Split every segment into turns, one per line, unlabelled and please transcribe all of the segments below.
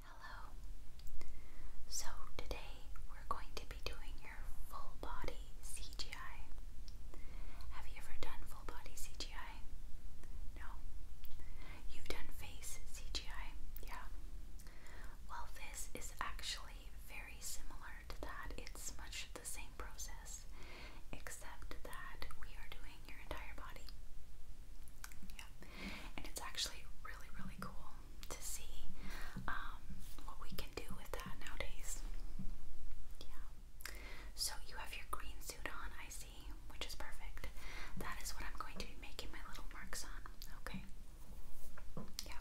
Hello. So today we're going to be doing your full body CGI. Have you ever done full body CGI? No. You've done face CGI, yeah. Well, this is actually very similar to that. It's much the same process, except that we are doing your entire body. Yeah and it's actually really, really cool to see um, what we can do with that nowadays. Yeah. So you have your green suit on, I see, which is perfect. That is what I'm going to be making my little marks on. Okay. Yeah.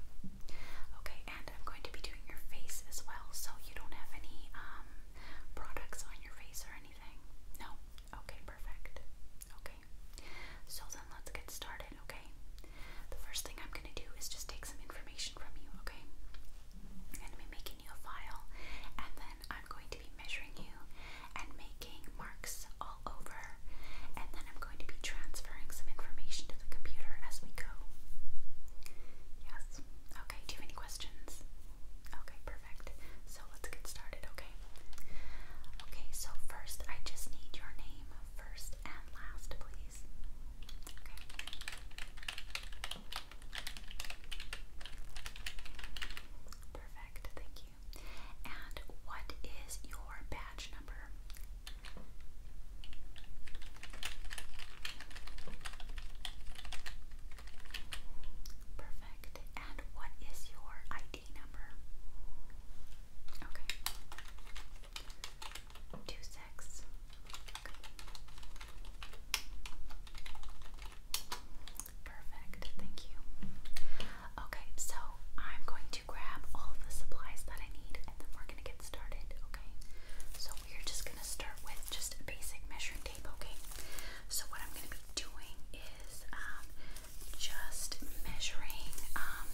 Okay, and I'm going to be doing your face as well, so you don't have any um, products on your face or anything. No. Okay, perfect. Okay so then let's get started, okay? The first thing I'm going to do is just take some information from you, okay? i be making a file, and then I'm going to be measuring you and making marks all over, and then I'm going to be transferring some information to the computer as we go. Yes. Okay, do you have any questions? Okay, perfect. So let's get started, okay? Okay, so first I just need your name, first and last, please. Perfect, thank you. And what is your badge number? Perfect. And what is your ID? number. Okay. Two six. Perfect. Thank you. Okay, so I'm going to grab all the supplies that I need and then we're gonna get started, okay? So we're just gonna start with just a basic measuring tape, okay? So what I'm gonna be doing is um just measuring um,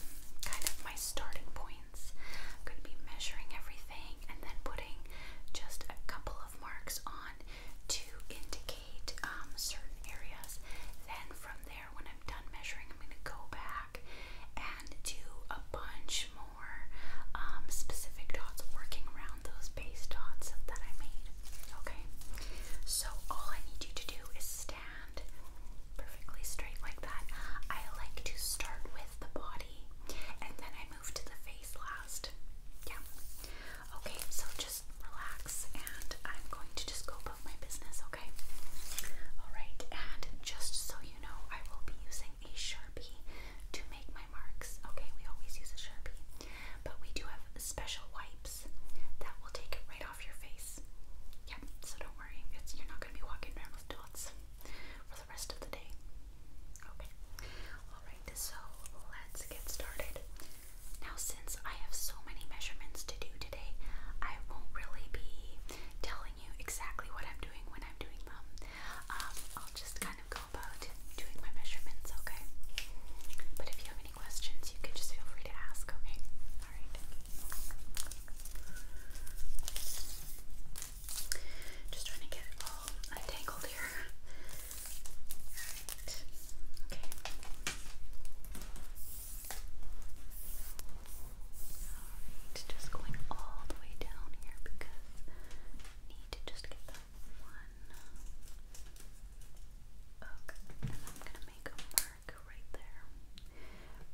kind of my starting points. I'm going to be measuring everything and then putting just a couple of marks on to indicate um, certain areas. Then from there, when I'm done measuring, I'm going to go back and do a bunch more um, specific dots, working around those base dots that I made. Okay. So all I need you to do is stand perfectly straight like that. I like to start with the body and then I move to the face last. Yeah. Okay, so just relax and I'm going to just go about my business, okay? Alright, and just so you know, I will be using a Sharpie to make my marks. Okay, we always use a Sharpie. But we do have special wipes that will take it right off your face. Yeah, so don't worry, it's, you're not going to be walking around with dots for the rest of the day. Okay, alright, so let's get started. Now, since I have so many measurements to do today, I won't really be telling you exactly what I'm doing when I'm doing them. Um, I'll just kind of go about doing my measurements, okay? But if you have questions, you can just feel free to ask, okay? Alright. Just trying to get all untangled here. Alright. Okay. Alright, just going all the way down here because need to just get that one. Okay, and I'm gonna make a mark right there,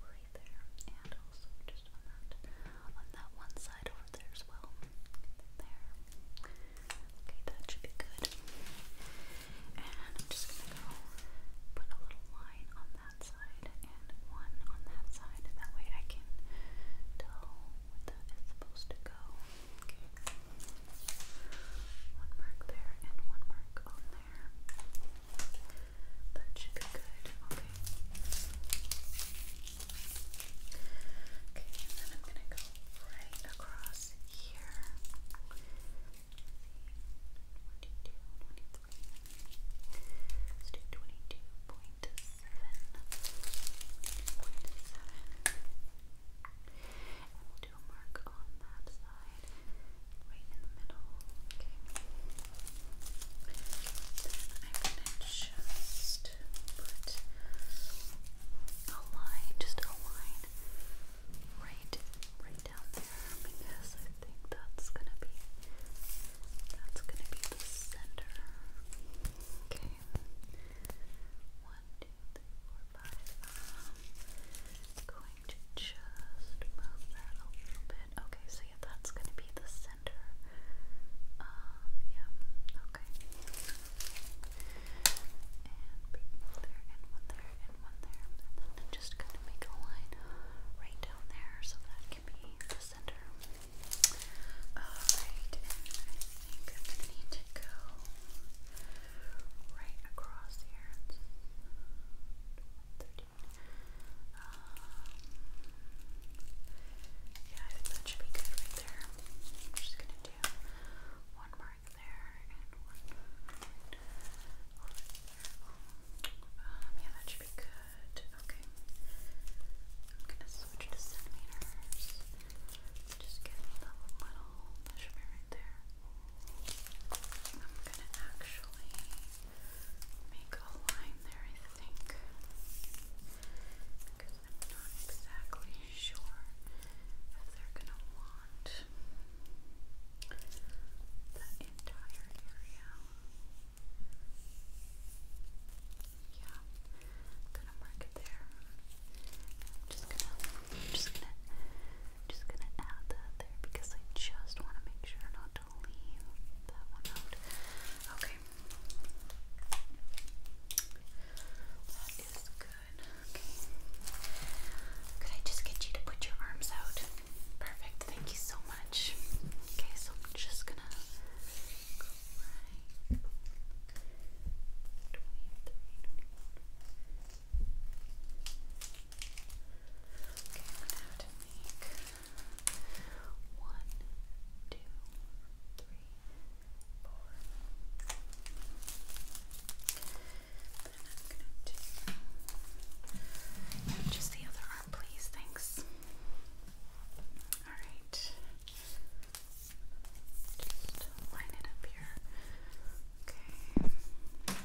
right there, and also just on that, on that one side over there as well. There. Okay, that should be good. And I'm just gonna go put a little line on that side and one on that side. That way I can tell where that is supposed to go. One mark there and one mark on there. That should be good. Okay. Okay, and then I'm gonna go right across here. Let's see. 22, 23. Let's do 22.7. 22.7. And we'll do a mark on that side, right in the middle. Okay. Then I'm gonna just put a line, just a line, right, right down there, because I think that's gonna be, that's gonna be the center. Okay. One, two, three, four, five, six, seven, eight, nine, ten three, four, um, going to just move that a little bit. Okay, so yeah, that's going to be the center. Um, yeah, okay. And one there, and one there, and one there. then I'm just going to make a line right down there so that can be the center. Alright, I think i need to go right across here. Um, yeah, I think that should be good right there. just gonna do one mark there and one there. Um, yeah, that should be good. Okay. I'm gonna switch to centimeters. Just get a little measurement right there. I'm gonna actually make a line there, I think, because I'm not exactly sure if they're gonna want the entire area. Yeah, I'm gonna mark it there. I'm just gonna, just gonna, just gonna add that there because I just want to make sure not to leave that one out. Okay, that is good. Okay, could I just get you to put your arms out? Perfect. Thank you so much. Okay, so I'm just gonna go right. 23, I'm one, two, three, four. Then I'm gonna do just the other arm, please. Thanks. All right. Just line it up here. Okay. Okay.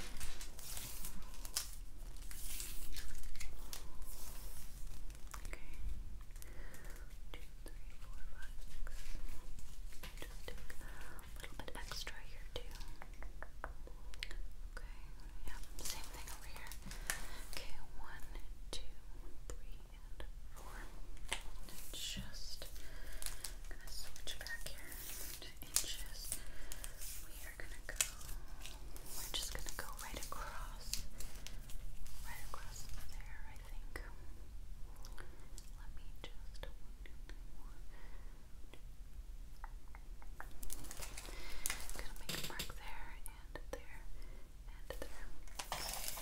Two, three, four, five, six. Just take a little bit extra here too. Okay. Yep. Same thing over here. Okay. One, two, three, and four just, gonna switch back here to inches. We are gonna go, we're just gonna go right across, right across there, I think. Let me just, make a mark there and there and there. Um,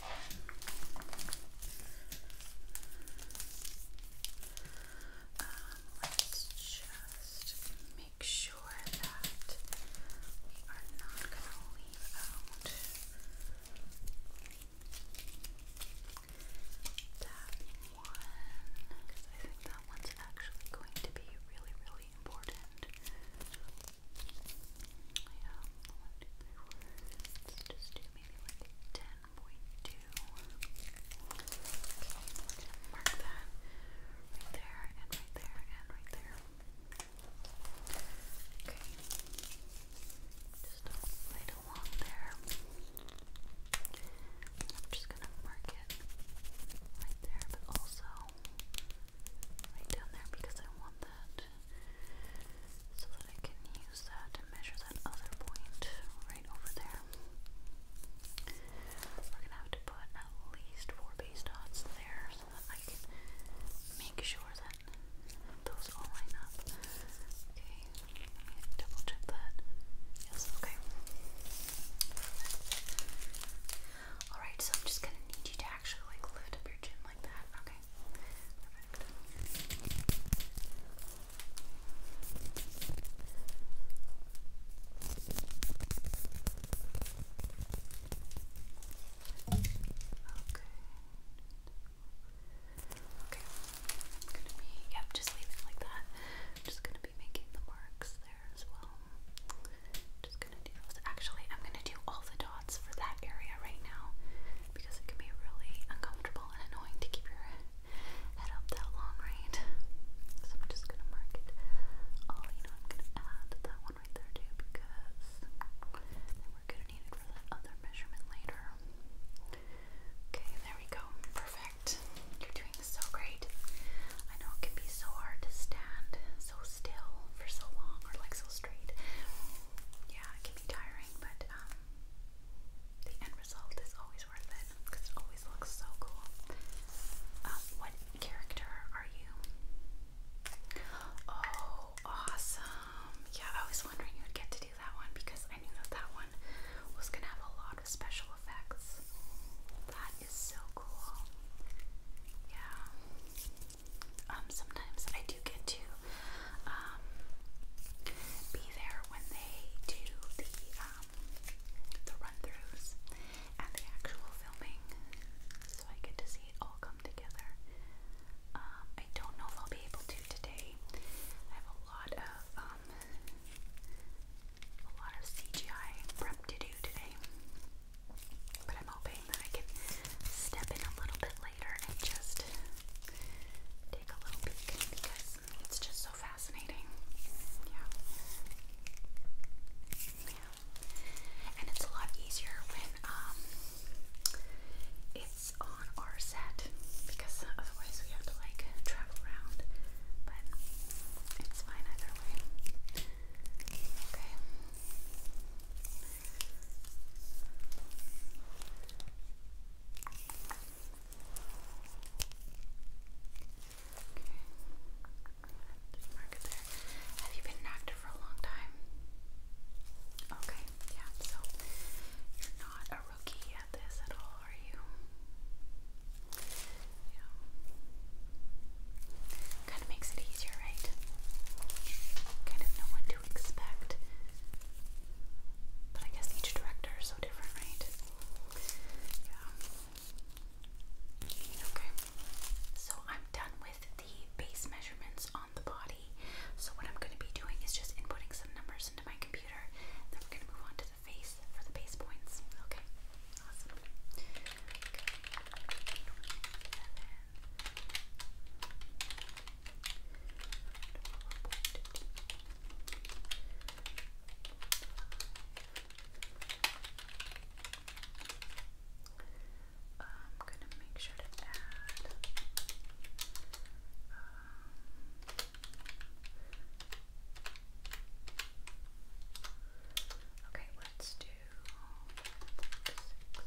let's just make sure that we are not going to leave out that one I think that one's actually going to be really, really important. two, three, four. Let's just do maybe like 10 1.2. Okay, mark that right there and right there and right there. Okay, just right along there. I'm just gonna mark it right there, but also right down there because I want that so that I can use that to measure that other point right over there. We're gonna have to put at least four base dots there so that I can make sure that those all line up. Okay, double check that. okay. Alright, so I'm just gonna need you to actually like lift up your chin like that. Okay. Okay. I'm gonna be yep, just leave like that. just gonna be making the marks there as well. Just gonna do those. Actually, I'm gonna do all the dots for that area right now because it can be really uncomfortable and annoying to keep your head up that long, right? So I'm just gonna mark it. Oh, you I'm gonna add that one right there too because then we're gonna need it for that other measurement later. Okay, there we go. Perfect. You're doing so great. I know it can be so hard to stand so still for so long or like so straight. Yeah, it can be tiring, but um, the end result is always worth it because it always looks so cool. Um, what character are you? Oh, awesome! Yeah, I was wondering you'd get to do that one because I knew that one was gonna have a lot of special effects. That is so cool. Yeah. Um, sometimes I do get to um, be there when they do the um, the run and the actual filming, so I get to see it all come together. Um, I don't know if I'll be able to today. I have a lot of um, a lot of CGI prep to do today, but I'm hoping that I can step in a little bit later and just take a little peek because it's just so fascinating. Yeah. And it's a lot easier when um, it's on our set because otherwise we have to like travel around. But it's fine either way. Okay. Just Have you been an actor for a long time? Okay, yeah, so you're not a rookie at this at all, are you? Yeah. Kind of makes it easier, right? Kind of know what to expect. But I guess each director is so different, right? Yeah. Okay. So I'm done with the base measurements on the body. So what I'm going to be doing is just inputting some numbers into my computer. then we're going to move on to the face for the base points. Okay. Awesome. Okay. I'm gonna make sure to add um, Okay, let's do six, one,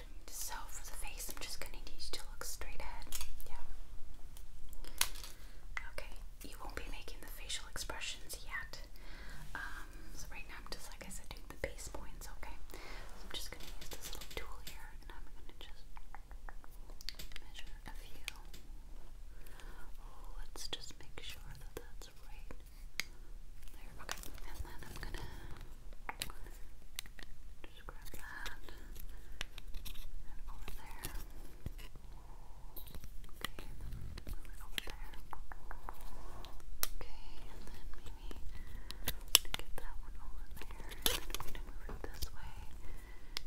So for the face, I'm just gonna need you to look straight ahead. Yeah. Okay. You won't be making the facial expressions yet. Um, so right now I'm just like I said, doing the base points. Okay. I'm just gonna use this little tool here, and I'm gonna just measure a few. let's just make sure that that's right. There. Okay. Just grab that and over there. Okay, and then there. Okay, and then maybe get that one over there. And then this way.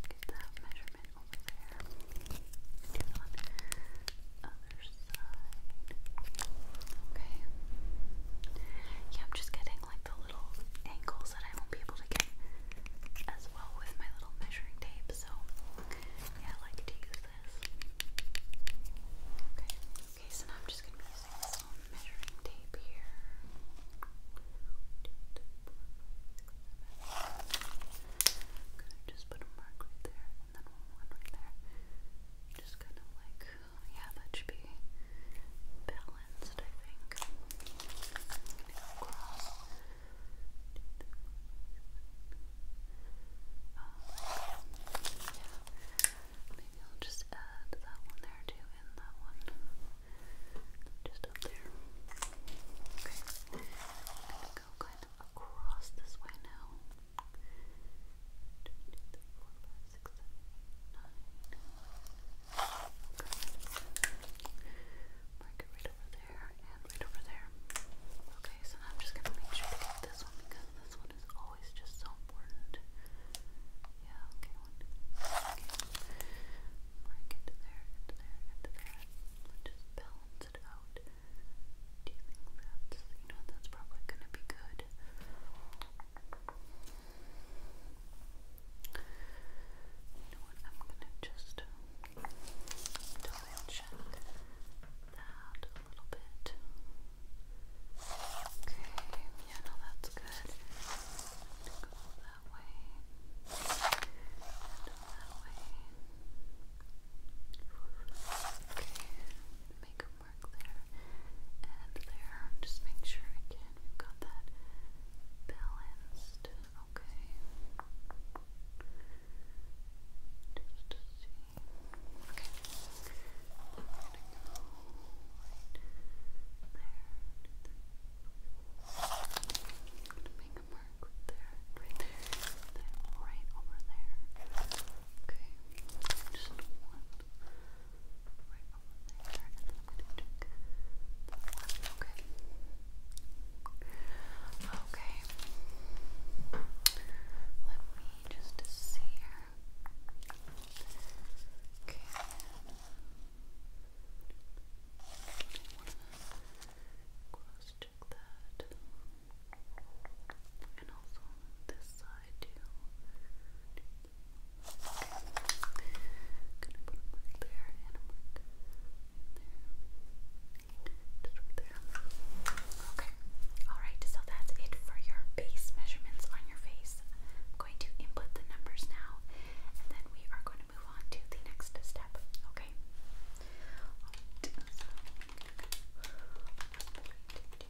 Get that measurement over there. Do on the other side. Okay. Yeah, I'm just getting like the little angles that I won't be able to get as well with my little measuring tape. So yeah, I like to use this. Okay, so now I'm just gonna be using this little measuring tape here. just put a mark right there and then one right there. Just kind of like yeah, that should be balanced, I think. Um, yeah. Maybe I'll just add that one there too, and that one just up there. Okay, I'm gonna go kind of across this way now six, seven, eight, nine. right over there and right over there. Okay, so now I'm just gonna make sure to get this one because this one is always just so important. Yeah, okay, one. Okay. Mark there, into there, into there. Just balance it out. Do you think that's you know that's probably gonna be good? You I'm gonna just double that a little bit. Okay, yeah, no, that's good. Go that way. And that way. Okay, make a mark there and there. Just make sure I and we've got that balanced. Okay. Just to see. Okay. I'm gonna go right there. I'm gonna make a mark right there, right over there. Okay. Just one. Right over there, and then I'm going to check that one. Okay. Okay. Let me just see here. Okay. Close check that. And also on this side too gonna put a mark there and a mark there. Just right there. Okay. Alright, so that's it for your base measurements on your face. I'm going to input the numbers now and then we are going to move on to the next step. Okay. Alright, so I'm going to do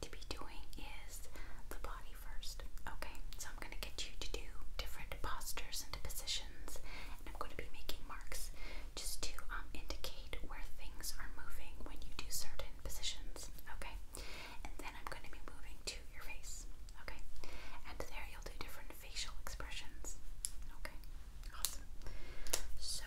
to be doing is the body first. Okay, so I'm going to get you to do different postures and positions, and I'm going to be making marks just to um, indicate where things are moving when you do certain positions. Okay, and then I'm going to be moving to your face. Okay, and there you'll do different facial expressions. Okay, awesome. So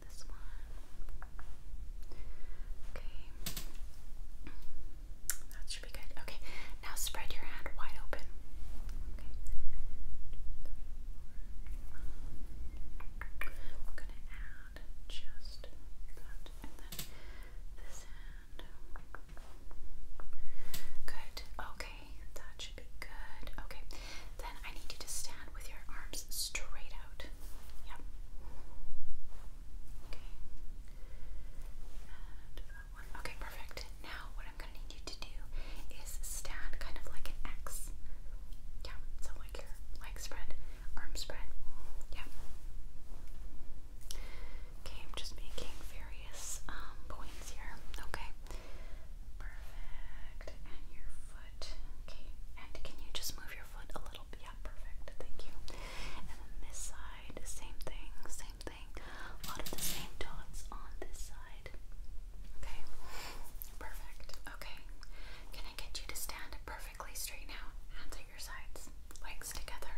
this one. Okay. That should be good. Okay. Now spread your hand wide open. Okay. We're going to add just that and then this hand. Good. Okay. That should be good. Okay. Then I need you to stand with your arms straight out. Yep. Okay. Uh, okay, perfect. Now, what I'm going to need you to do is stand kind of like an X. Yeah, so like your leg spread, arm spread. Yeah. Okay, I'm just making various um, points here. Okay. Perfect. And your foot. Okay. And can you just move your foot a yeah, perfect. Thank you. And then this side, same thing, same thing. A lot of the same dots on this side. Okay. Perfect. Okay. Can I get you to stand up perfectly straight now? Hands at your sides, legs together.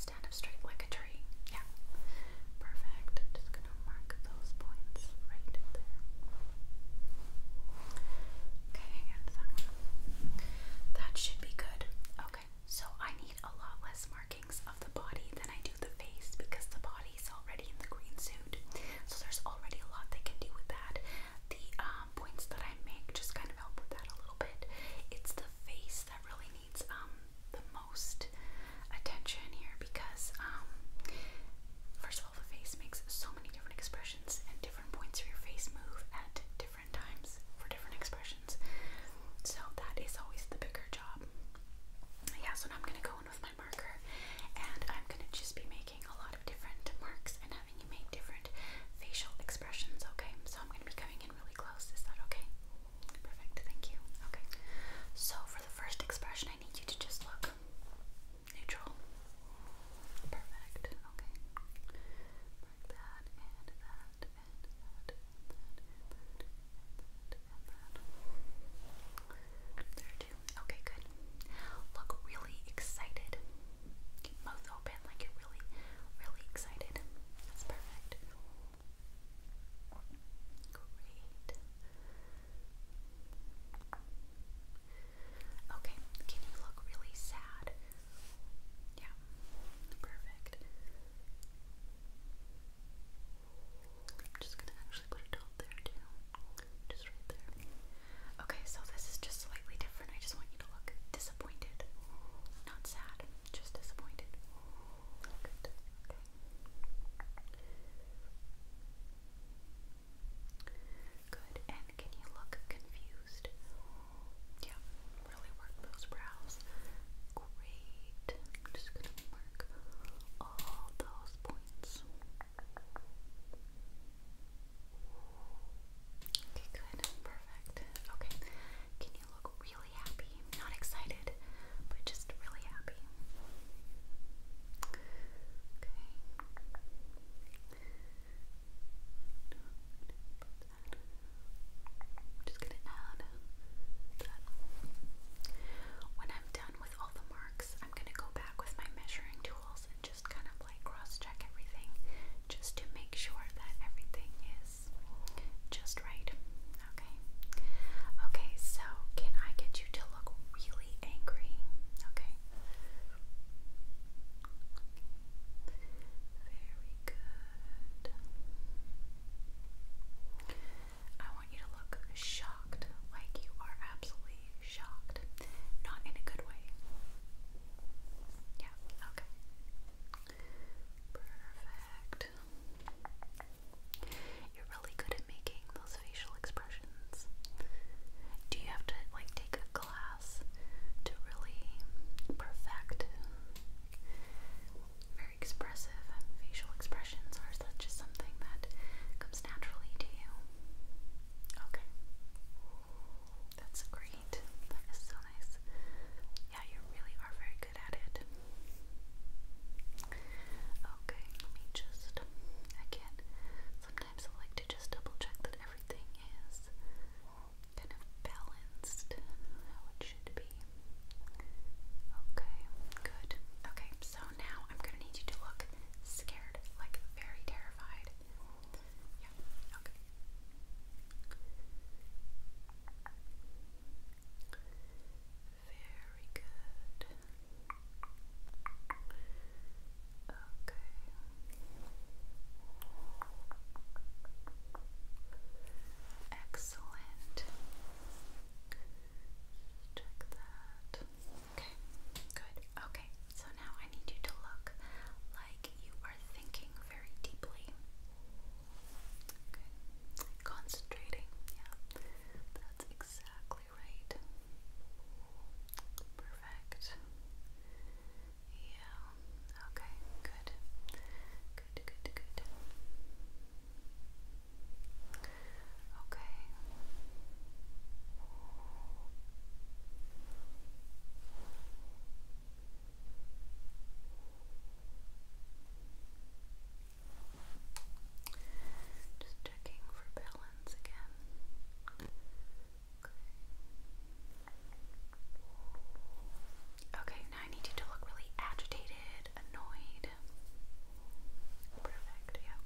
Stand up straight like a tree. Yeah. Perfect. Just gonna mark those points right there. Okay, and that one. That should be good. Okay, so I need a lot less markings of the body than I do the face because the body is already in the green suit. So there's already a lot they can do with that. The um, points that I make just kind of help with that a little bit. It's the face that really needs um, the most attention here because um first the face makes so many different expressions, and different points of your face move at different times for different expressions. So that is always the bigger job. Yeah, so I'm gonna go in with my marker, and I'm gonna just be making a lot of different marks and having you make different facial expressions. Okay, so I'm gonna be coming in really close. Is that okay? Perfect. Thank you. Okay. So for the first expression, I need you to just look neutral. Perfect. Okay. Mark that and that and that and that and that. There too. Okay, good. Look really excited. Keep mouth open like you're really, really excited. That's perfect. Great. Okay, can you look really sad? Yeah, perfect. I'm just gonna actually put a dot there too. Just right there. Okay, so this is just slightly different. I just want you to look disappointed. Not sad, just disappointed. Good. Okay. Good. And can you look confused? Yeah, really work those brows. Great. I'm just gonna mark all those points. Okay, good. Perfect. Okay. Can you look really happy? Not excited, but just really happy. Okay. I'm just gonna add When I'm done with all the marks, I'm gonna go back with my measuring tools and just kind of like cross-check everything just to make sure that everything is just right. Okay. Okay, so can I get you to look really angry? Okay. Very good. I want you to look shocked, like you are absolutely shocked. Not in a good way. Yeah, okay. Perfect. You're really good at making those facial expressions? Do you have to like take a class to really perfect very expressive facial expressions, or is that just something that comes naturally to you? Okay. That's great. That is so nice. Yeah, you really are very good at it. Okay, let me just. I sometimes I like to just double check that everything is kind of balanced how it should be. Okay, good. Okay, so now I'm gonna need you to look scared, like very terrified. Yeah, okay. Very good. Okay. Excellent. Check that. Okay, good. Okay, so now I need you to look like you are thinking very deeply. Okay, concentrating. Yeah, that's exactly exactly right. Perfect. Yeah. Okay, good. Good, good, good. Okay. Just checking for balance hands Okay. now I need you to look really agitated, annoyed. Perfect, yeah.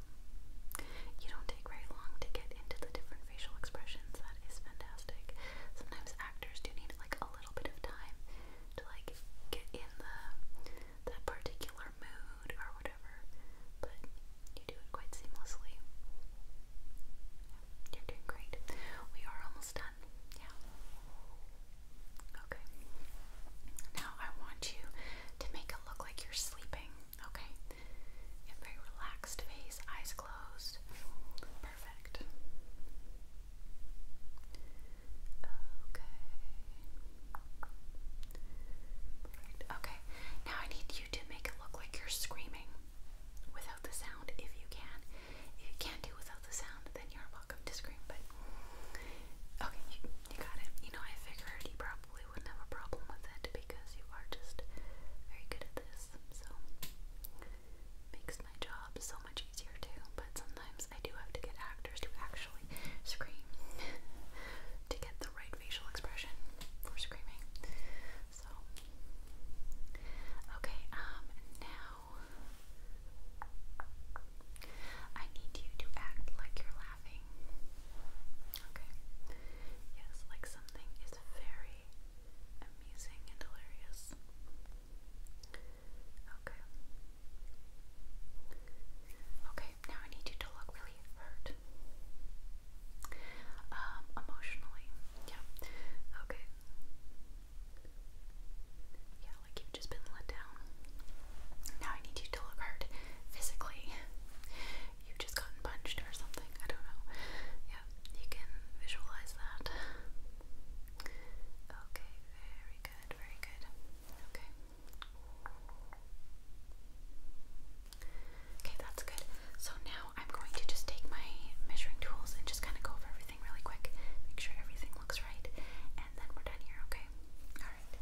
You don't take very long to get into the different facial expressions. That is fantastic. Sometimes actors do need like a little bit of time to like get in the that particular mood or whatever, but you do it quite seamlessly. You're doing great. We are almost done. Yeah. Okay. Now I want you to make it look like you're sleeping. Okay. very relaxed face, eyes closed. Perfect. Okay. Okay. Now I need you to make it look like you're screaming without the sound if you can. If you can't do without the sound, then you're welcome to scream. But okay, you, got it. You know, I figure you probably wouldn't have a problem with it because you are just very good at this. So makes my job so much easier too. But sometimes I do have to get actors to actually scream to get the right facial expression for screaming. So, okay, um, now I need you to act like you're laughing. Okay, yes, like something is very amusing and hilarious. Okay. Okay, now I need you to look really hurt. Um, emotionally, yeah. Okay. Yeah, like you've just been let down. Now I need you to look hurt physically. You've just gotten punched or something. I don't know. Yeah, you can visualize that. Okay, very good, very good. Okay. Okay, that's good. So now I'm going to just take my measuring tools and just kind of go over everything really quick, make sure everything looks right, and then we're done here, okay? Alright.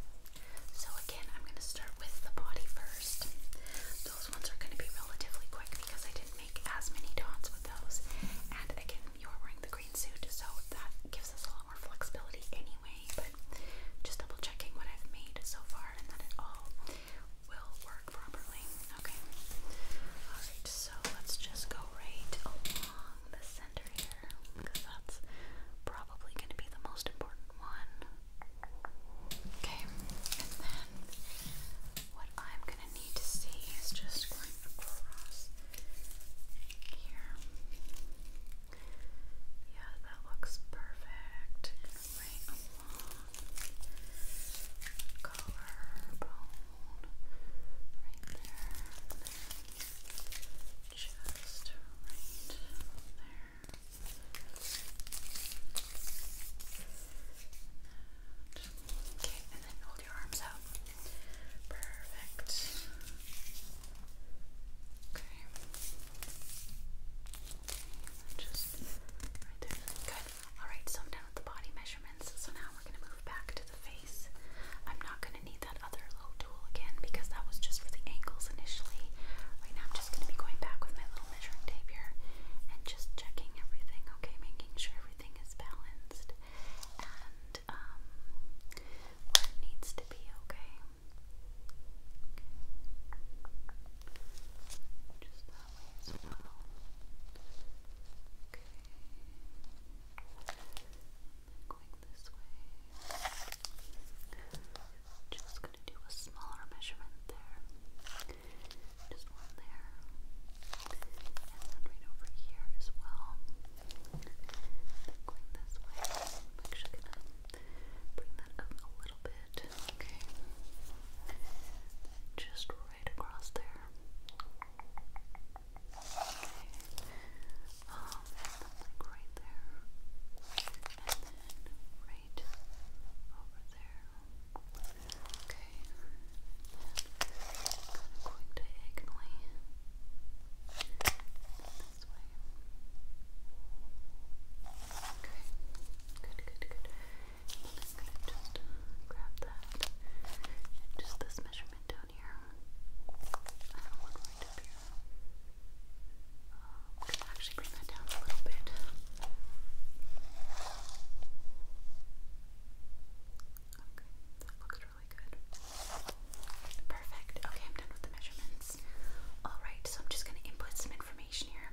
So again, I'm going to start with the body first. Those ones are going to be relatively quick because I didn't make as many dots with those. And again, you are wearing the green suit, so that gives us a lot more flexibility anyway just double checking what I've made so far and that it all will work properly. Okay. Alright, so let's just go right along the center here because that's probably going to be the most important one. Okay, and then what I'm going to need to see is just going across here. Yeah, that looks perfect. Right along collarbone, right there, just right there. Okay, and then hold your arms out. Perfect. Okay. Just right there. Good. Alright, so I'm done with the body measurements. So now we're going to move back to the face. I'm not going to need that other low tool again because that was just for the ankles initially. Right now I'm just going to be going back with my little measuring tape here and just checking everything, okay? Making sure everything is balanced and um, needs to be, okay? Okay. Just that way as well. Okay. going this way. Just gonna do a smaller measurement there. Just one there. And then right over here as well. going this way. actually gonna bring that up a little bit, okay? Just right across there. Okay. Um, and then like right there. And then right over there. Okay. And then kind of going diagonally. And this way. Okay, good, good, good. I'm gonna just grab that just this measurement down here. I have one right up here. Um, can actually bring that down a little bit. Okay, that looks really good. Perfect. Okay, I'm done with the measurements. Alright, so I'm just going to input some information here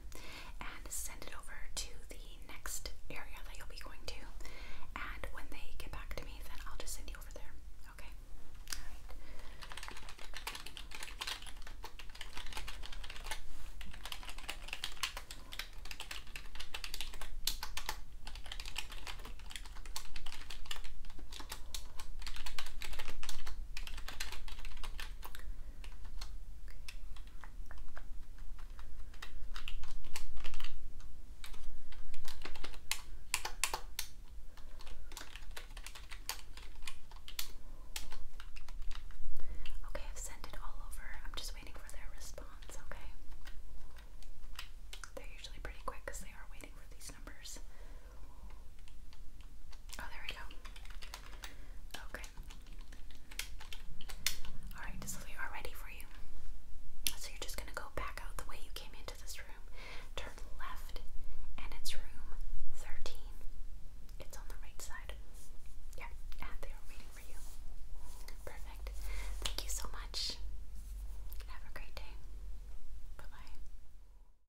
and send it over to the next area that you'll be going to. And when they get back to me, then I'll just send you over there. Okay? Okay, I've sent it all over. I'm just waiting for their response, okay? They're usually pretty quick because they are waiting for these numbers. Oh, there we go. Okay. Alright, so we are ready for you. So you're just gonna go back out the way you came into this room, turn left, and it's room 13. It's on the right side. Yeah, and they are waiting for you. Perfect. Thank you so much. Have a great day. bye.